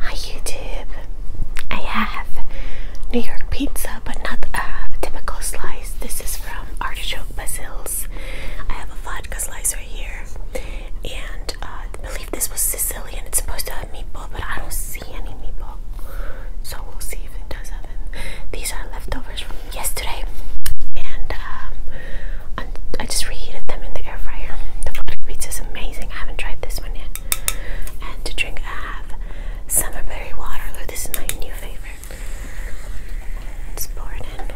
Hi YouTube! I have New York pizza but not a typical slice. This is from Artichoke Basils. I have a vodka slice right here and uh, I believe this was Sicilian. It's supposed to have meatball but I don't see any meatball so we'll see if it does have it. These are leftovers from yesterday, and uh, I just reheated them in the air fryer. The butter pizza is amazing. I haven't tried this one yet. And to drink, I have summer berry waterloo. This is my new favorite. Let's pour it in.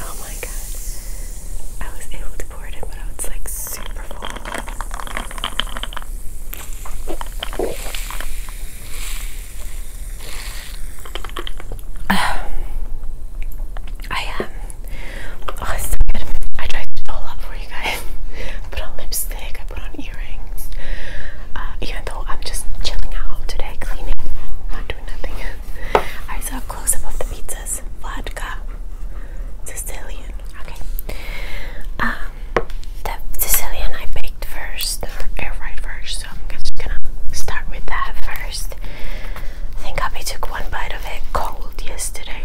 Oh my god. I was able to pour it but I like super full. I am um, Oh, it's so good. I tried it all up for you guys. put on lipstick, I put on earrings. Uh, even though I'm just chilling at home today, cleaning, not doing nothing. I saw a close up of the pizzas. Vodka. Sicilian. Okay. Um, the Sicilian I baked first, air fried first, so I'm just gonna start with that first. I think Abby took one bite of it cold yesterday.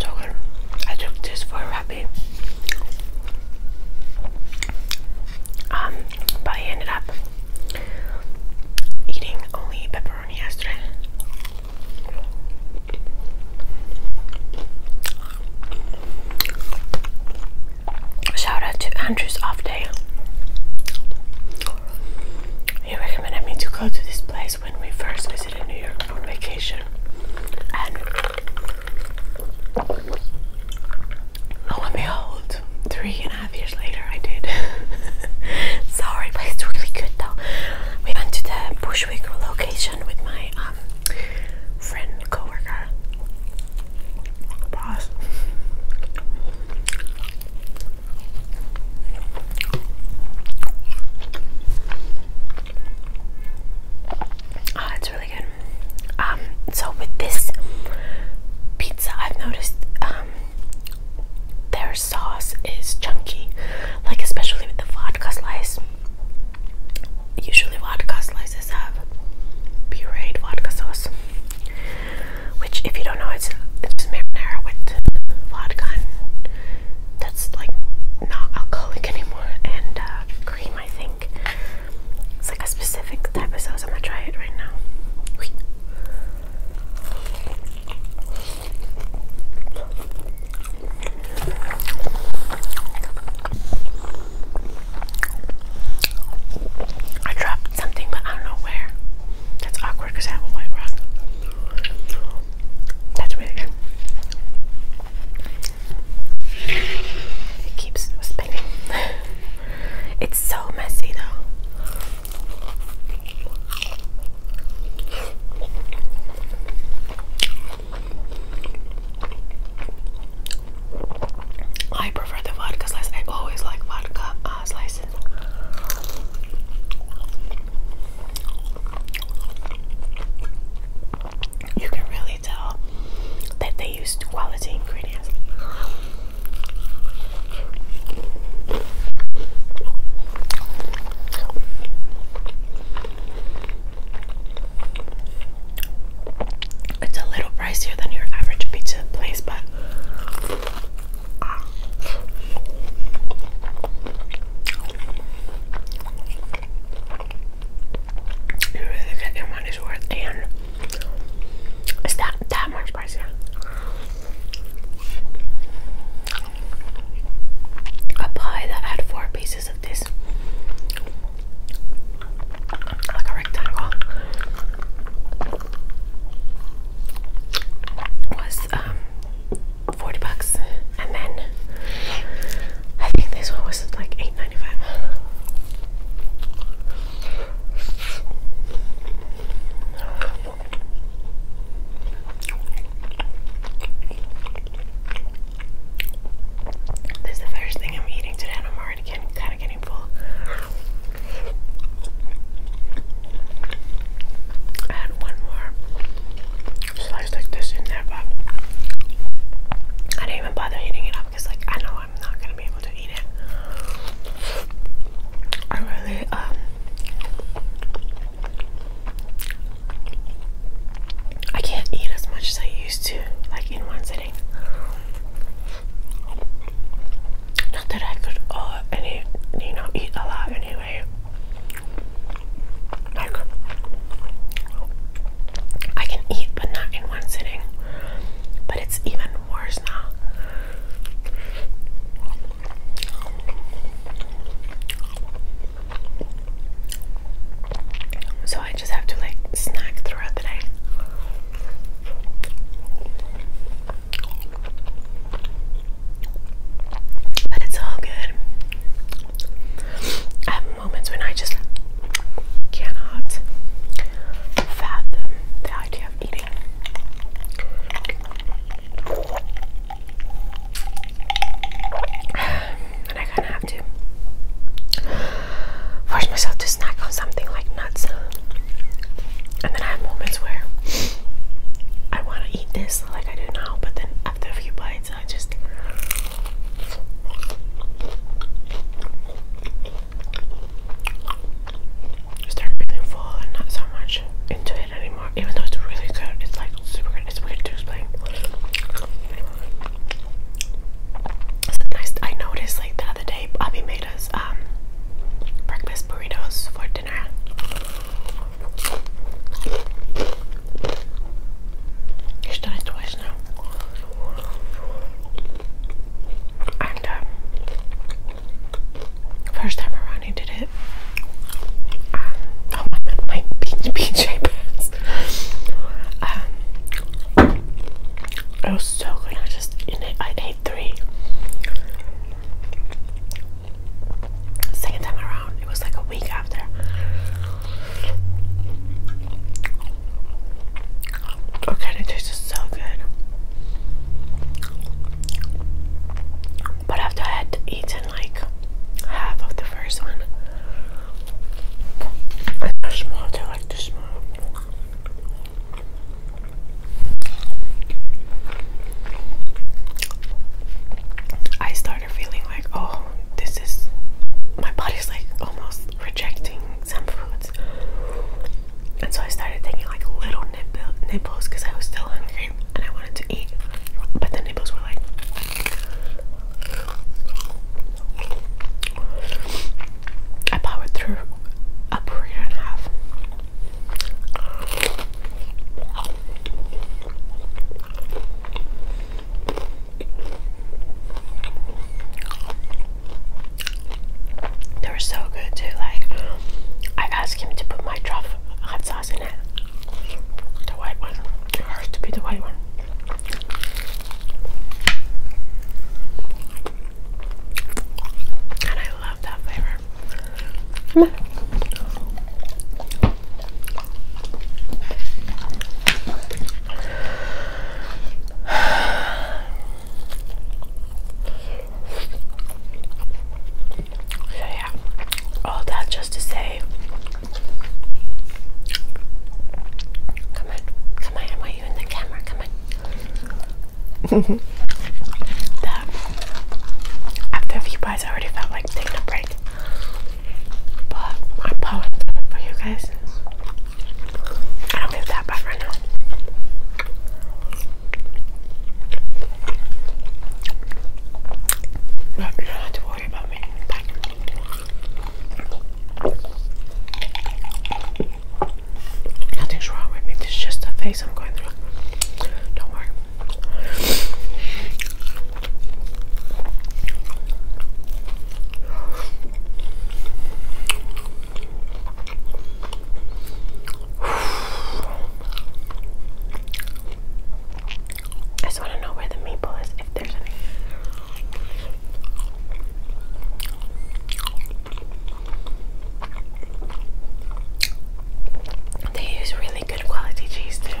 So I took this for a rabbit. Um, but I ended up eating only pepperoni yesterday. Shout out to Andrew's off day. He recommended me to go to this place when we first visited New York on vacation. And lo and behold, three and a half years later I did. Sorry, but it's really good though we went to the Bushwick location with my um, friend, coworker, boss. Oh, it's really good. Um, so with this pizza, I've noticed um, their sauce is chunky, like especially with the vodka slice. Usually, vodka slices have pureed vodka sauce, which, if you don't know, it's it's marinara with vodka. that's like not alcoholic anymore, and uh, cream. I think it's like a specific type of sauce. I'm gonna try it right now. I dropped something, but I don't know where. That's awkward because I have a white rug. That's really It keeps spinning. it's so messy though. I prefer the vodka slice. I always like vodka uh, slices. You can really tell that they used quality ingredients. It's a little pricier than your average pizza place, but ah. your money's worth, and it's that that much pricier a pie that had four pieces of this like a rectangle was um, 40 bucks and then I think this one was like 8.95 this is the first thing I'm eating today, I'm already getting, kind of getting full. I one more slice like this in there, but I didn't even bother heating it up because, like, I know I'm not gonna be able to eat it. I really um, I can't eat as much as I used to, like in one sitting. Not that I could uh any you know eat a lot anyway. Like I can eat but not in one sitting. But it's even worse now. So I just have to like snack throughout the day. But it's all good. I have moments when I just cannot fathom the idea eating. And I kind of have to force myself to snack on something like nuts. And then I have moments where I want to eat this like I do now, but then after a few bites, I just started feeling full and not so much into it anymore. Even though it's really good, it's like super good. It's weird to explain. It's nice. I noticed like the other day, Bobby made us um, breakfast burritos for dinner. He's done it twice now and um, first time around I did it. Um, oh my, my PJ pants. Um, it was so good. I just in it. I ate three. Second time around, it was like a week after. Okay, it tastes so good. But after I had eaten like half of the first one, I started feeling like, oh, this is my body's like almost rejecting some foods. And so I started taking like little nipples because I was still hungry and I wanted to eat. But the nipples were like I powered through a burrito and a half. They were so good too. Like I asked him to put my truffle hot sauce in it. The white one. It has to be the white one. And I love that flavor. Come on yeah, all that just to say, come on, come on, I want you in the camera, come on. after a few bites, I already felt like taking a break, but I'm for you guys. I don't feel that bad right now. you don't have to worry about me. Nothing's wrong with me. This is just a phase I'm going through. Don't worry. I just want to know where the maple is, if there's any. They use really good quality cheese too.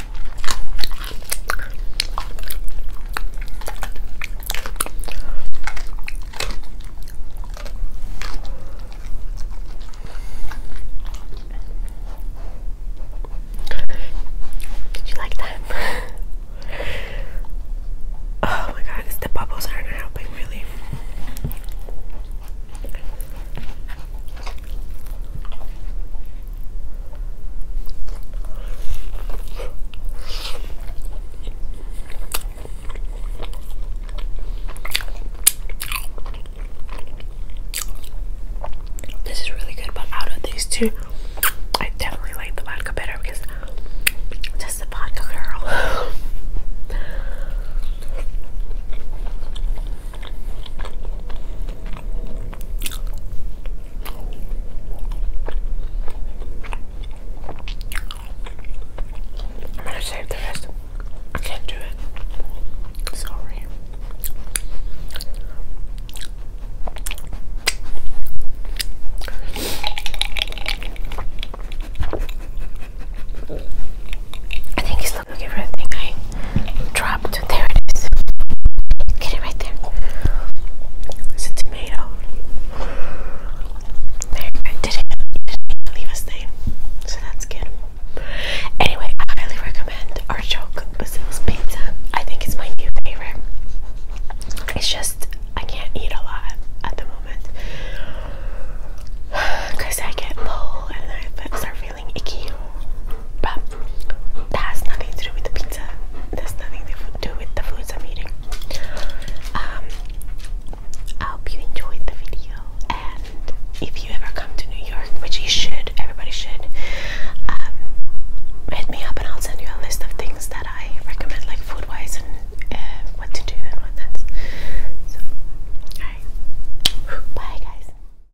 Did you like that? oh my god, the bubbles aren't helping really. This is really good, but out of these two, I definitely like the vodka better because just the vodka girl. I'm gonna save the rest. I can't do it. Sorry. I think he's looking for a thing. I dropped. There it is. Get it right there. It's tomato. There, it leave a stain, so that's good. Anyway, I highly recommend Artichoke Basil's Pizza. I think it's my new favorite. It's just, I can't eat a lot at the moment because I get full and I start that has nothing to do with the pizza. That's nothing to do with the foods I'm eating. Um, I hope you enjoyed the video, and if you ever come to New York, which you should, everybody should, um, hit me up and I'll send you a list of things that I recommend, like food-wise and uh, what to do and what So, alright, bye guys.